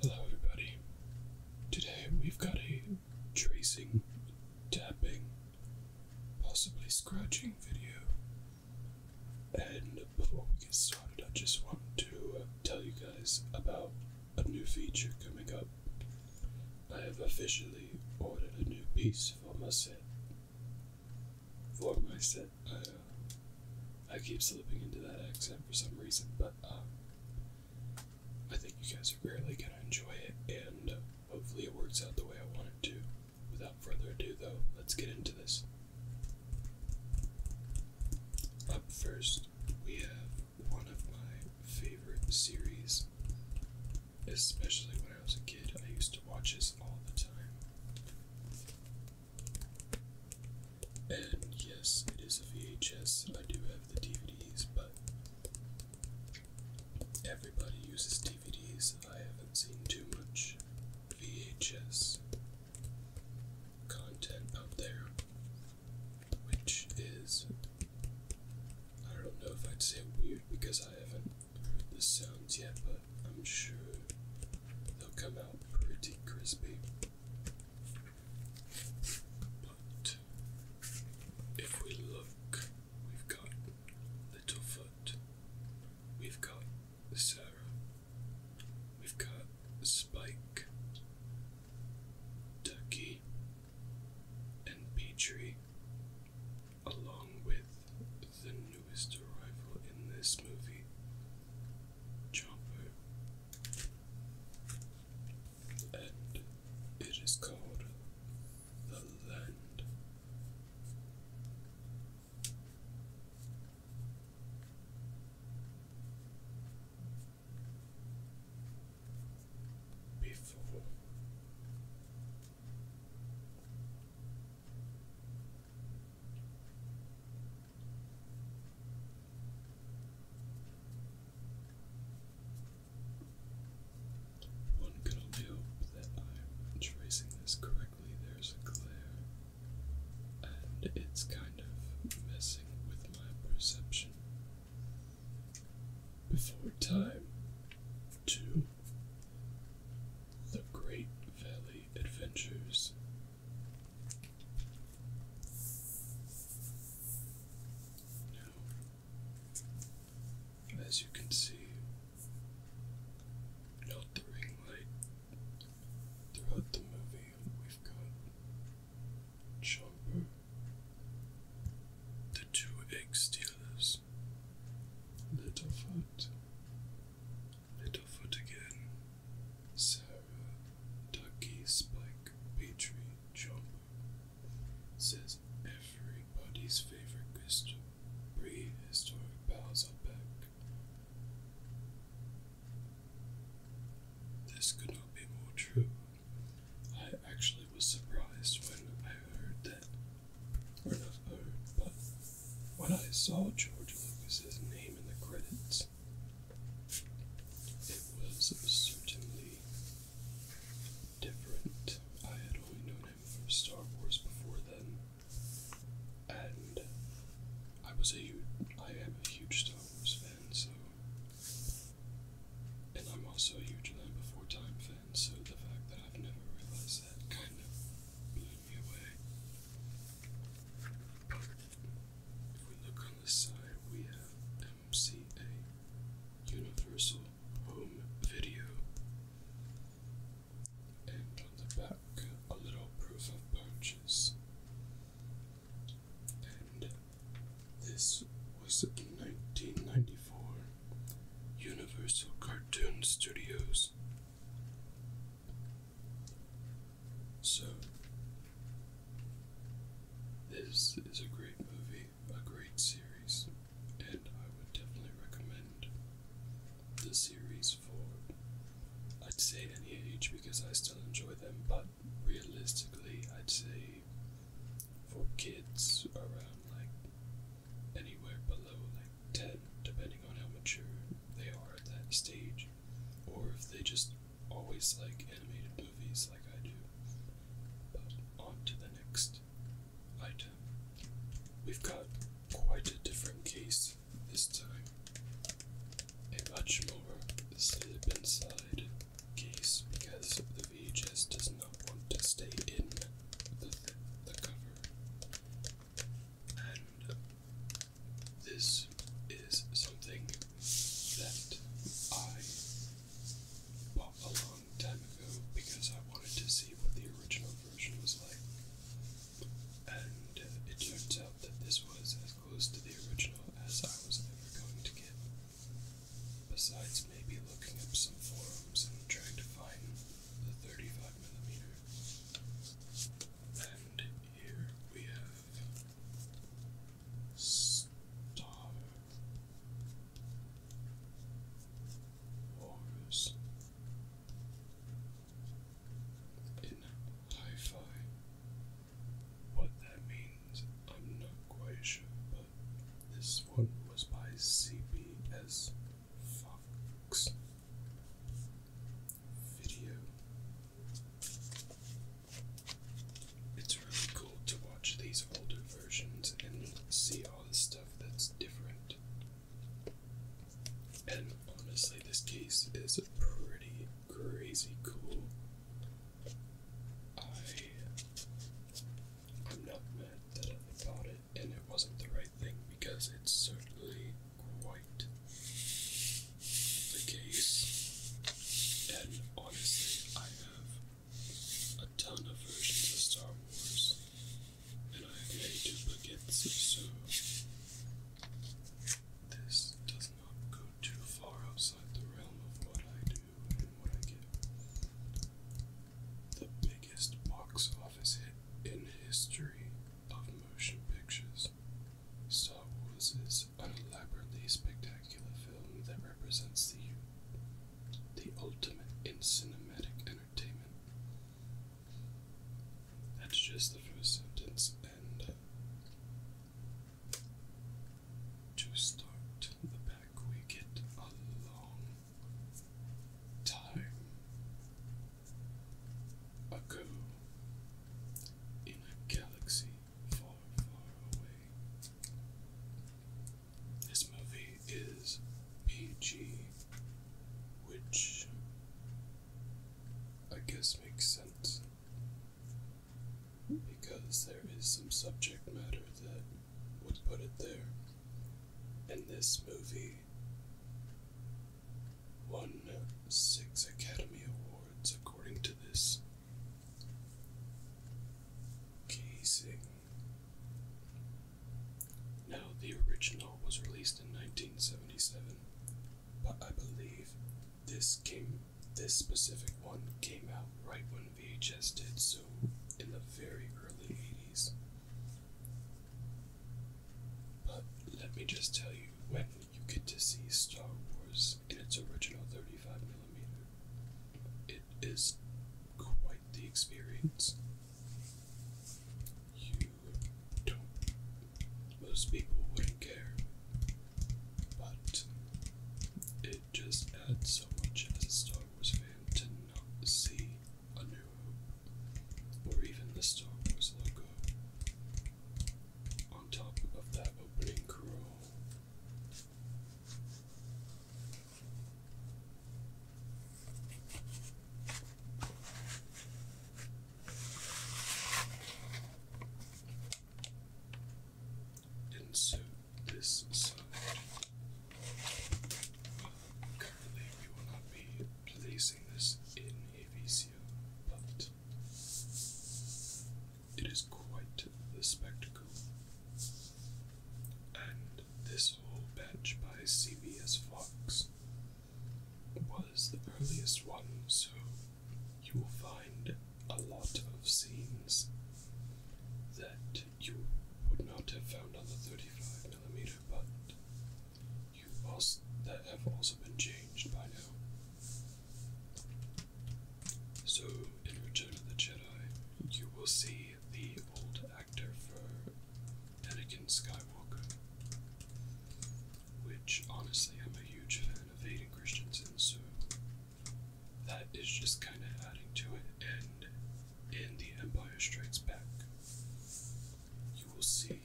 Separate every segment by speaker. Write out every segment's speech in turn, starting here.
Speaker 1: Hello everybody. Today we've got a tracing, tapping, possibly scratching video. And before we get started, I just want to uh, tell you guys about a new feature coming up. I have officially ordered a new piece for my set. For my set. Uh, I, keep slipping into that accent for some reason, but um, I think you guys are really gonna enjoy it, and uh, hopefully it works out the way I want it to. Without further ado, though, let's get into this. Up first, we have one of my favorite series, especially when I was a kid. I used to watch this all the time. And yes, it is a VHS. I do have the DVDs, but everybody uses DVDs. I haven't seen too much VHS content out there, which is. I don't know if I'd say weird because I haven't heard the sounds yet, but I'm sure they'll come out pretty crispy. But if we look, we've got Littlefoot, we've got Sarah, we've got Spike, Ducky, and Petrie, along with the newest arrival in this movie, Jumbo, and it is called the land. Before one could only hope that I'm tracing this correctly. There's a glare, and it's kind of messing with my perception. Before time to the Great Valley Adventures as you can see, note the ring light. Throughout the movie, we've got Chomper, the two egg stealers, Littlefoot, Littlefoot again, Sarah, Ducky Spike Petrie Chopper says everybody's favorite crystal prehistoric pals are back. This could not be more true. I actually was surprised when I heard that, or not heard, but when I saw George Lucas's name in the credits, it was certainly different. I had only known him from Star Wars before then, and I was a huge, I am a huge Star Wars fan, so and I'm also a huge Land Before Time fan, so the fact that I've never realized that kind of blew me away. If we look on the side, we have MCA, Universal Home Video. And on the back, a little proof of purchase. And this was in 1994, Universal Cartoon Studios. So, this is a great movie, a great series, and I would definitely recommend the series for, I'd say, any age because I still enjoy them, but realistically, I'd say for kids around like anywhere below like 10, depending on how mature they are at that stage or if they just always like animated movies like I do. But on to the next item. We've got quite a different case this time. A much more slip inside case because the VHS does not want to stay in the, the cover. And this is something that I bought a long time ago because I wanted to see what the original version was like. And uh, it turns out that this was as close to the original as I was ever going to get. Besides maybe looking up some forums and trying to find the 35mm. And here we have Star Wars in hi-fi. What that means, I'm not quite sure, but this one was by CBS Fox Video it's really cool to watch these older versions and see all the stuff that's different. And honestly, this case is pretty crazy cool. I, am not mad that I bought it and it wasn't the right thing because it's certainly quite the case. And honestly, I have a ton of versions of Star Wars, and I have many duplicates, so this does not go too far outside the realm of what I do and what I get. The biggest box office hit in history of motion pictures Star Wars is an elaborately spectacular film that represents the the ultimate in cinematic entertainment. That's just the first sentence, and uh, to start the back, we get a long time ago in a galaxy this movie is PG, which I guess makes sense because there is some subject matter that would put it there. And this movie won six Academy Awards according to this Kasich. Now, the original was released in 1977, but I believe this came, this specific one came out right when VHS did, so in the very early 80s. But let me just tell you when you get to see Star Wars in its original 35mm. It is quite the experience. You don't. Most people wouldn't care. But it just adds so much as a Star Wars fan to not see a new hope or even the Star Wars logo on top of that opening curl. Insert this side. Uh, currently, we will not be placing this in Avicio, but it is quite the spectacle. And this whole batch by CBS Fox was the earliest one, so you will find a lot of scenes that you would not have found on the 35mm, but you also, that have also been changed by now. So, in Return of the Jedi, you will see the old actor for Anakin Skywalker, which honestly I'm a huge fan of Hayden Christensen, so that is just kind of adding to it. And in The Empire Strikes Back, you will see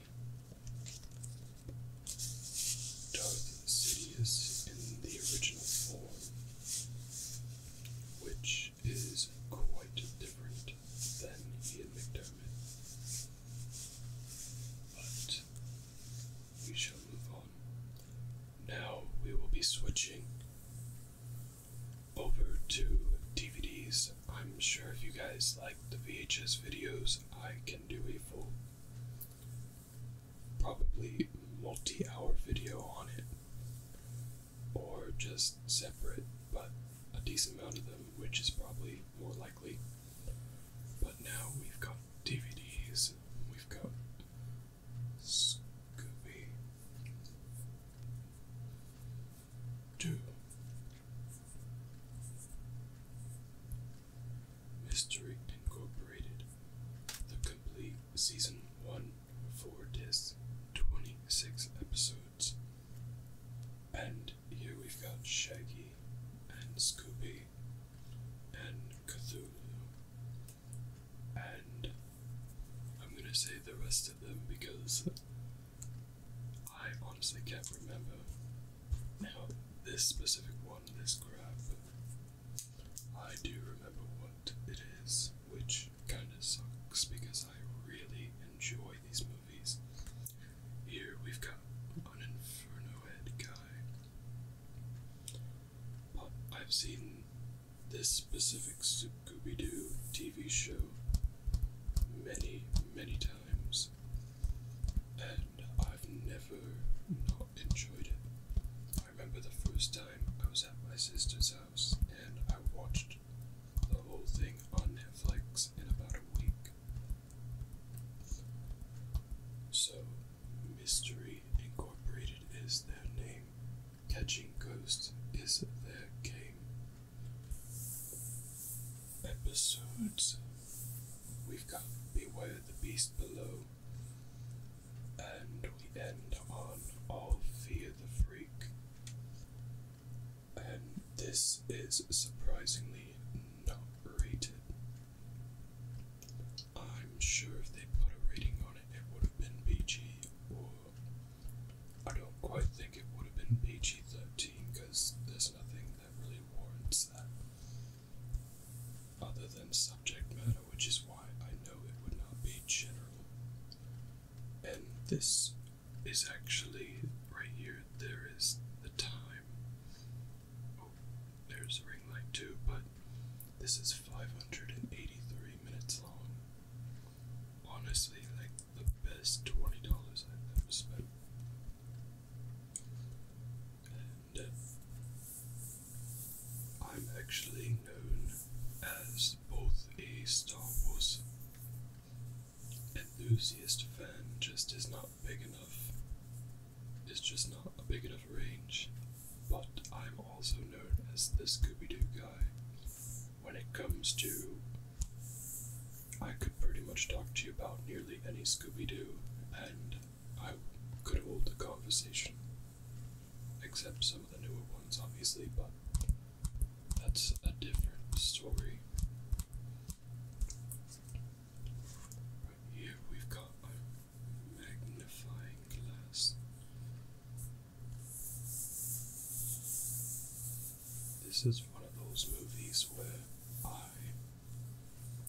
Speaker 1: Sidious in the original form, which is quite different than Ian McDermott. But we shall move on. Now we will be switching over to DVDs. I'm sure if you guys like the VHS videos, I can do a full probably multi-hour video on it or just separate but a decent amount of them which is probably more likely but now we've got dvds we've got scooby doo Mystery Incorporated, the complete season one, four discs, 26 episodes. And here we've got Shaggy and Scooby and Cthulhu. And I'm gonna say the rest of them because I honestly can't remember how this specific one, this grab I do remember what it is, which kinda sucks because I really enjoy these movies. Here we've got an Inferno guy. But I've seen this specific Scooby Doo TV show many, many times, and I've never not enjoyed it. I remember the first time I was at my sister's house and I watched the whole thing on Netflix in about a week. So, Mystery Incorporated is their name, Catching Ghosts is their game. Episodes We've got Beware the Beast Below, and we end on fear the Freak. And this is surprisingly not rated. I'm sure if they put a rating on it, it would have been PG, or I don't quite think it would have been PG 13 because there's nothing that really warrants that other than subject matter, which is why I know it would not be general. And this is actually right here, there is the time. Oh, there's a ring light too, but this is 583 minutes long. Honestly, like the best $20 I've ever spent. Uh, I'm actually known as both a Star Wars enthusiast fan, just is not big enough. It's just not a big enough range. But I'm also known as the Scooby Doo guy. When it comes to. I could pretty much talk to you about nearly any Scooby Doo, and I could hold the conversation except some of the newer ones, obviously, but that's a different story. here we've got a magnifying glass. This is one of those movies where I,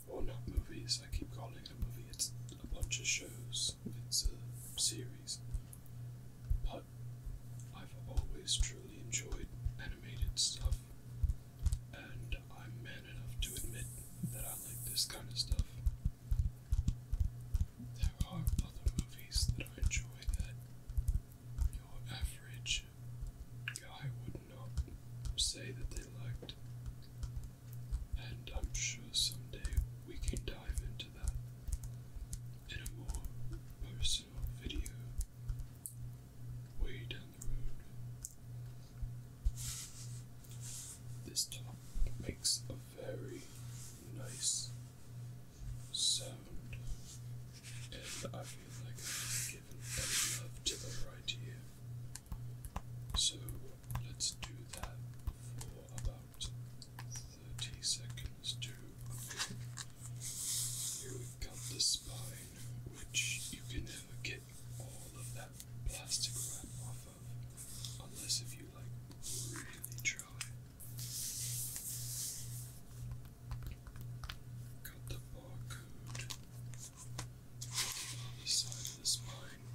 Speaker 1: or not movies, I keep calling it a movie, it's a bunch of shows it's a series, but I've always truly enjoyed animated stuff, and I'm man enough to admit that I like this kind of stuff. There are other movies that I enjoy that your average guy would not say that they liked, and I'm sure someday we can dive into that in a more personal video way down the road. This top makes a very nice sound, and I feel like I've given any to the right here. So let's do that for about 30 seconds too. Okay. Here we've the spine, which you can never get all of that plastic wrap off of, unless if you like really try. Got the barcode on the side of the spine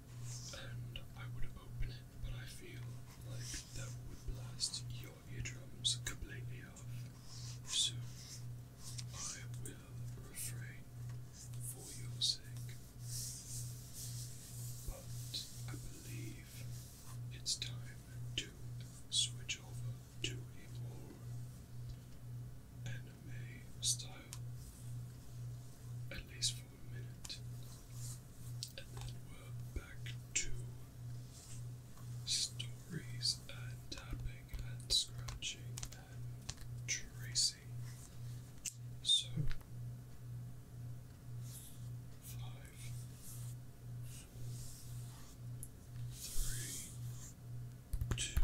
Speaker 1: and I would open it, but I feel like that would blast your eardrums completely off. So I will refrain for your sake. But I believe it's time to switch over to a more anime style, at least for a minute, and then we're back to stories and tapping and scratching and tracing. So, five, four, three, two,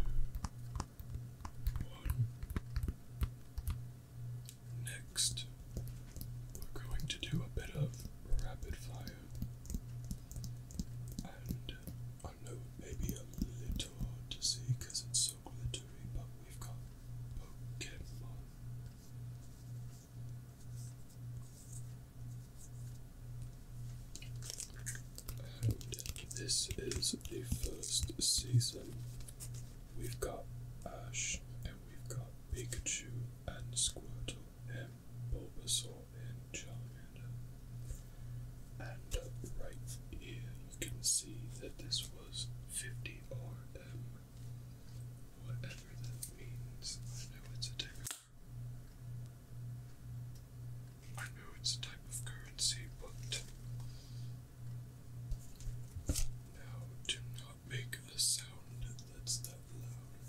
Speaker 1: Next, we're going to do a bit of rapid fire and I know maybe a little hard to see because it's so glittery, but we've got Pokemon. And this is the first season We've got Ash, and we've got Pikachu, and Squirtle, and Bulbasaur, and Charmander. And uh, right here, you can see that this was 50 RM, whatever that means. I know it's a I know it's a type of currency, but now, do not make a sound that's that loud.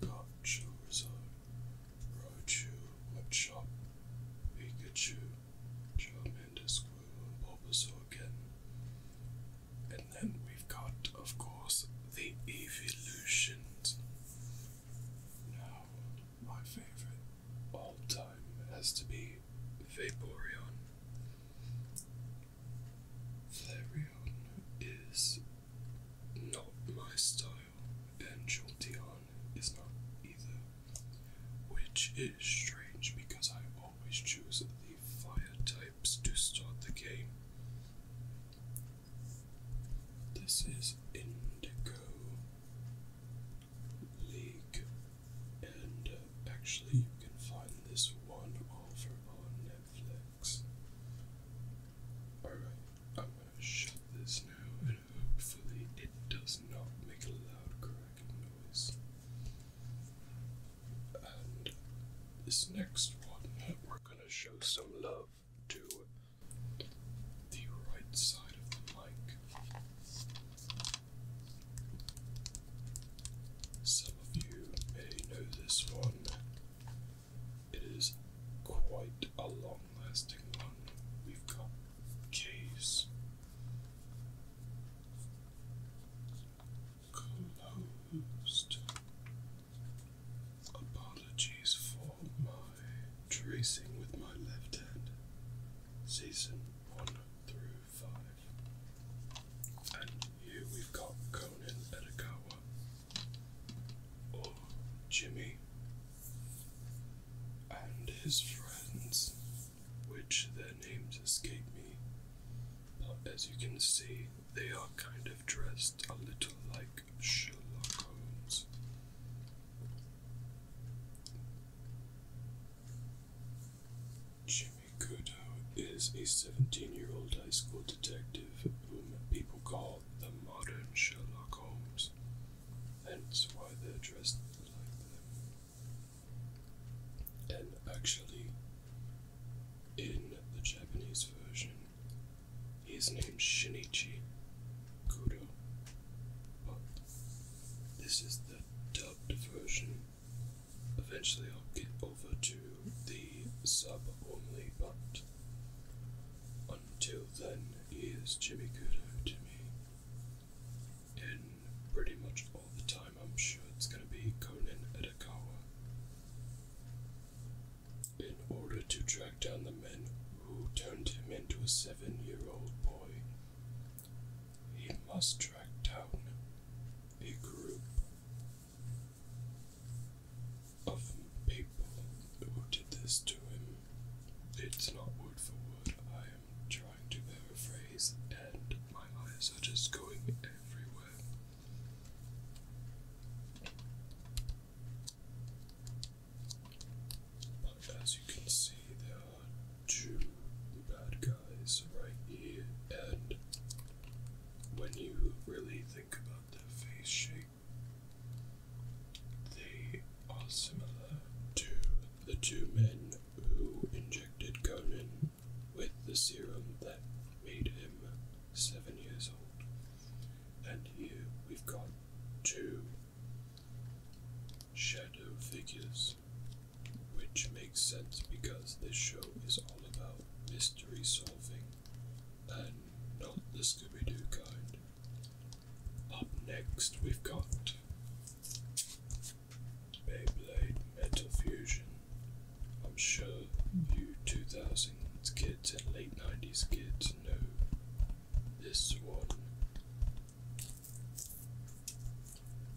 Speaker 1: We've got Charizard, Raichu, Machop, Pikachu, Charmander, Squirtle, Bulbasaur And then we've got, of course, the Evolutions. Now, my favorite all time has to be Vaporeon. Flareon is not my style, and Jolteon is not either. Which is strange because I always choose the fire types to start the game. This is Indigo. League, and uh, actually, you can find this one over on Netflix. Alright, I'm gonna shut this now, and hopefully, it does not make a loud cracking noise. And this next one, we're gonna show some love to the right side of the mic. Some of you may know this one. It is quite a long lasting one. We've got case closed. Apologies for my tracing with my left hand. Season 1 through and here we've got Conan Edogawa or Jimmy and his friends, which their names escape me. But as you can see, they are kind of dressed a little like Sherlock Holmes. Jimmy Kudo is a 17 year old high school detective whom people call the modern Sherlock Holmes. Hence why they're dressed like them. And actually, in the Japanese version, he is named Shinichi Kudo. But this is the dubbed version Eventually, I'll get over to the sub only, but until then, he is Jimmy Kudo to me. And pretty much all the time, I'm sure it's going to be Conan Edakawa. In order to track down the men who turned him into a seven year old boy, he must track down a group of people who did this to him. It's not word for word. I am trying to paraphrase, and my eyes are just going everywhere. as you can see, there Two bad guys right here, and when you really think about their face shape, they are similar to the two men who injected Conan with the serum that made him seven years old. And here we've got two shadow figures which makes sense because this show is all about mystery solving and not the Scooby Doo kind. Up next, we've got Beyblade Metal Fusion. I'm sure you two thousand kids and late 90s kids know this one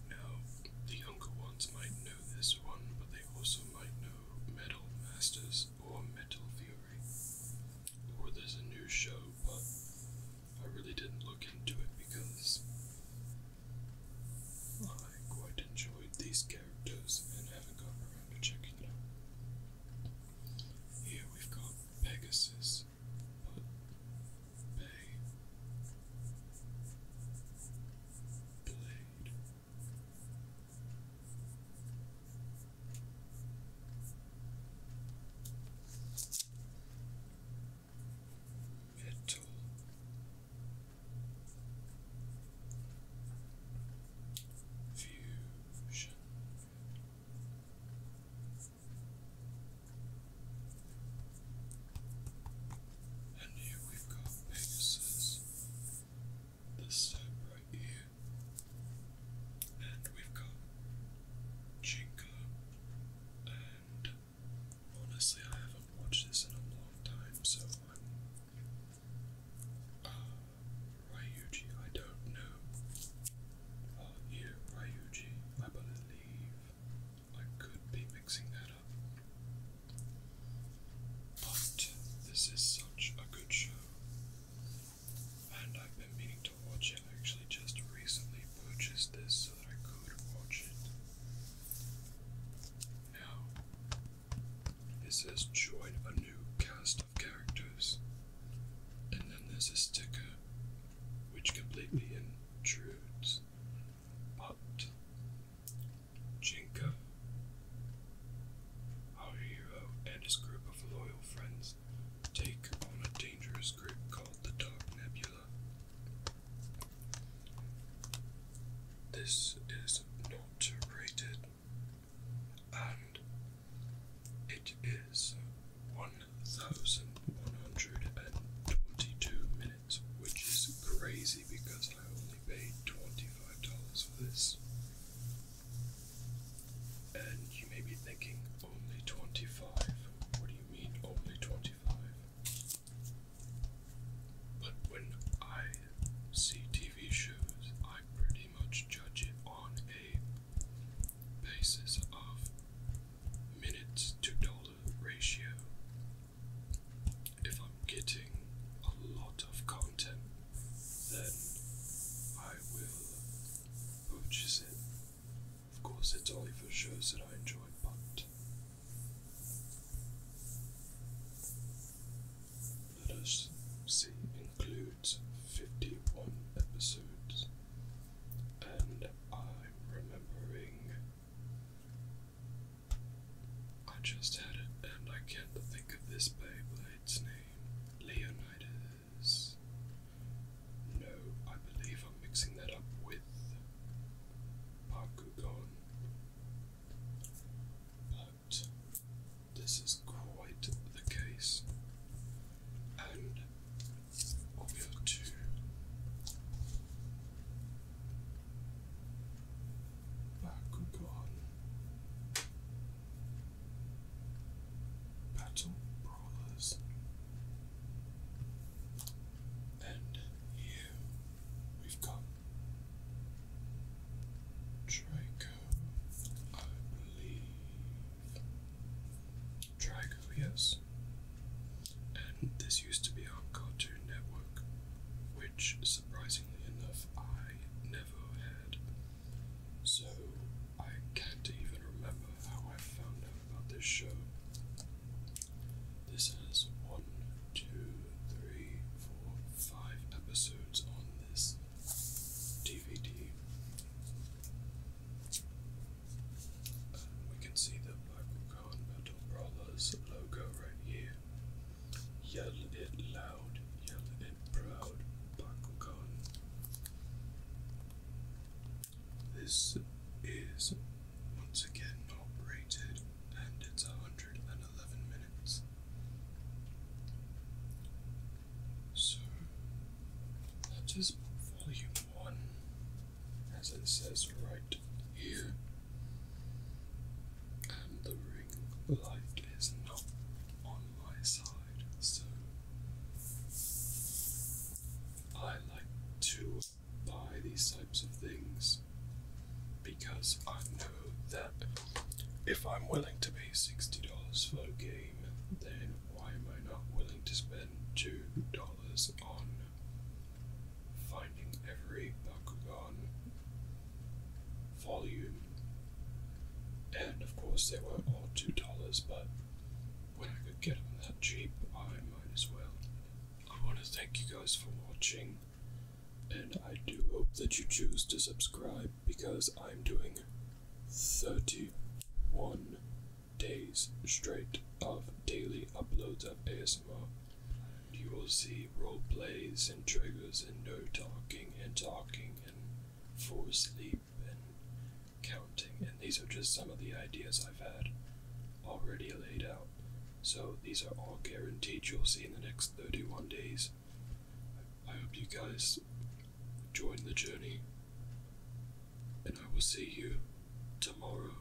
Speaker 1: now, the younger ones might know this one, but they also might know Metal Masters or Metal Fury. Or there's a new show, but I really didn't look into it because I quite enjoyed these characters and haven't gotten around to checking it out. Here we've got Pegasus, but Bay Blade Metal Fusion and here we've got Pegasus, this right here. And we've got Jinko. And honestly, I haven't watched this in a long time, so I'm. Uh, I don't know. Uh, yeah, I believe. I could be mixing that up. But this is such a good show. And I've been meaning to watch it. actually just recently purchased this so that I could watch it. Now, it says join a new cast of characters. And then there's a sticker which completely intrudes but Jinka, our hero, and his group of loyal friends take on a dangerous group called the Dark Nebula. This is not rated, and it is 1122 minutes which is crazy because I only paid $25 for this. And you may be thinking, only 25 What do you mean, only 25 But when I see TV shows, I pretty much judge it on a basis of minutes to dollar ratio if I'm getting a lot of content, then I will purchase it. Of course, it's only for shows that I enjoy, but let us see, includes 51 episodes, and I'm remembering I just had it and I can't think of this by its name. Leonidas. No, I believe I'm mixing that up with Bakugan. But this is quite the case. And we are two. Back, good Battle Brawlers. And here we've got Draco, I believe. Draco, yes and this used to be on Cartoon Network, which surprisingly enough I never had. So I can't even remember how I found out about this show. This has one, two, three, four, five episodes on this DVD. we can see the Black Metal logo right here. Yell it loud, yell it proud, Bakugan. This is once again not and it's 111 minutes. So that is volume one as it says right here. And the ring light is not on my side, so I like to buy these types of things because I know that if I'm willing to pay $60 for a game, then why am I not willing to spend $2 on finding every Bakugan volume. And of course, they were all $2, but when I could get them that cheap, I might as well. I want to thank you guys for watching, and I do hope that you choose to subscribe because I'm doing 31 days straight of daily uploads of ASMR. You will see role plays and triggers and no talking and talking and for sleep and counting. And these are just some of the ideas I've had already laid out. So these are all guaranteed you'll see in the next 31 days. I hope you guys join the journey. And I will see you tomorrow.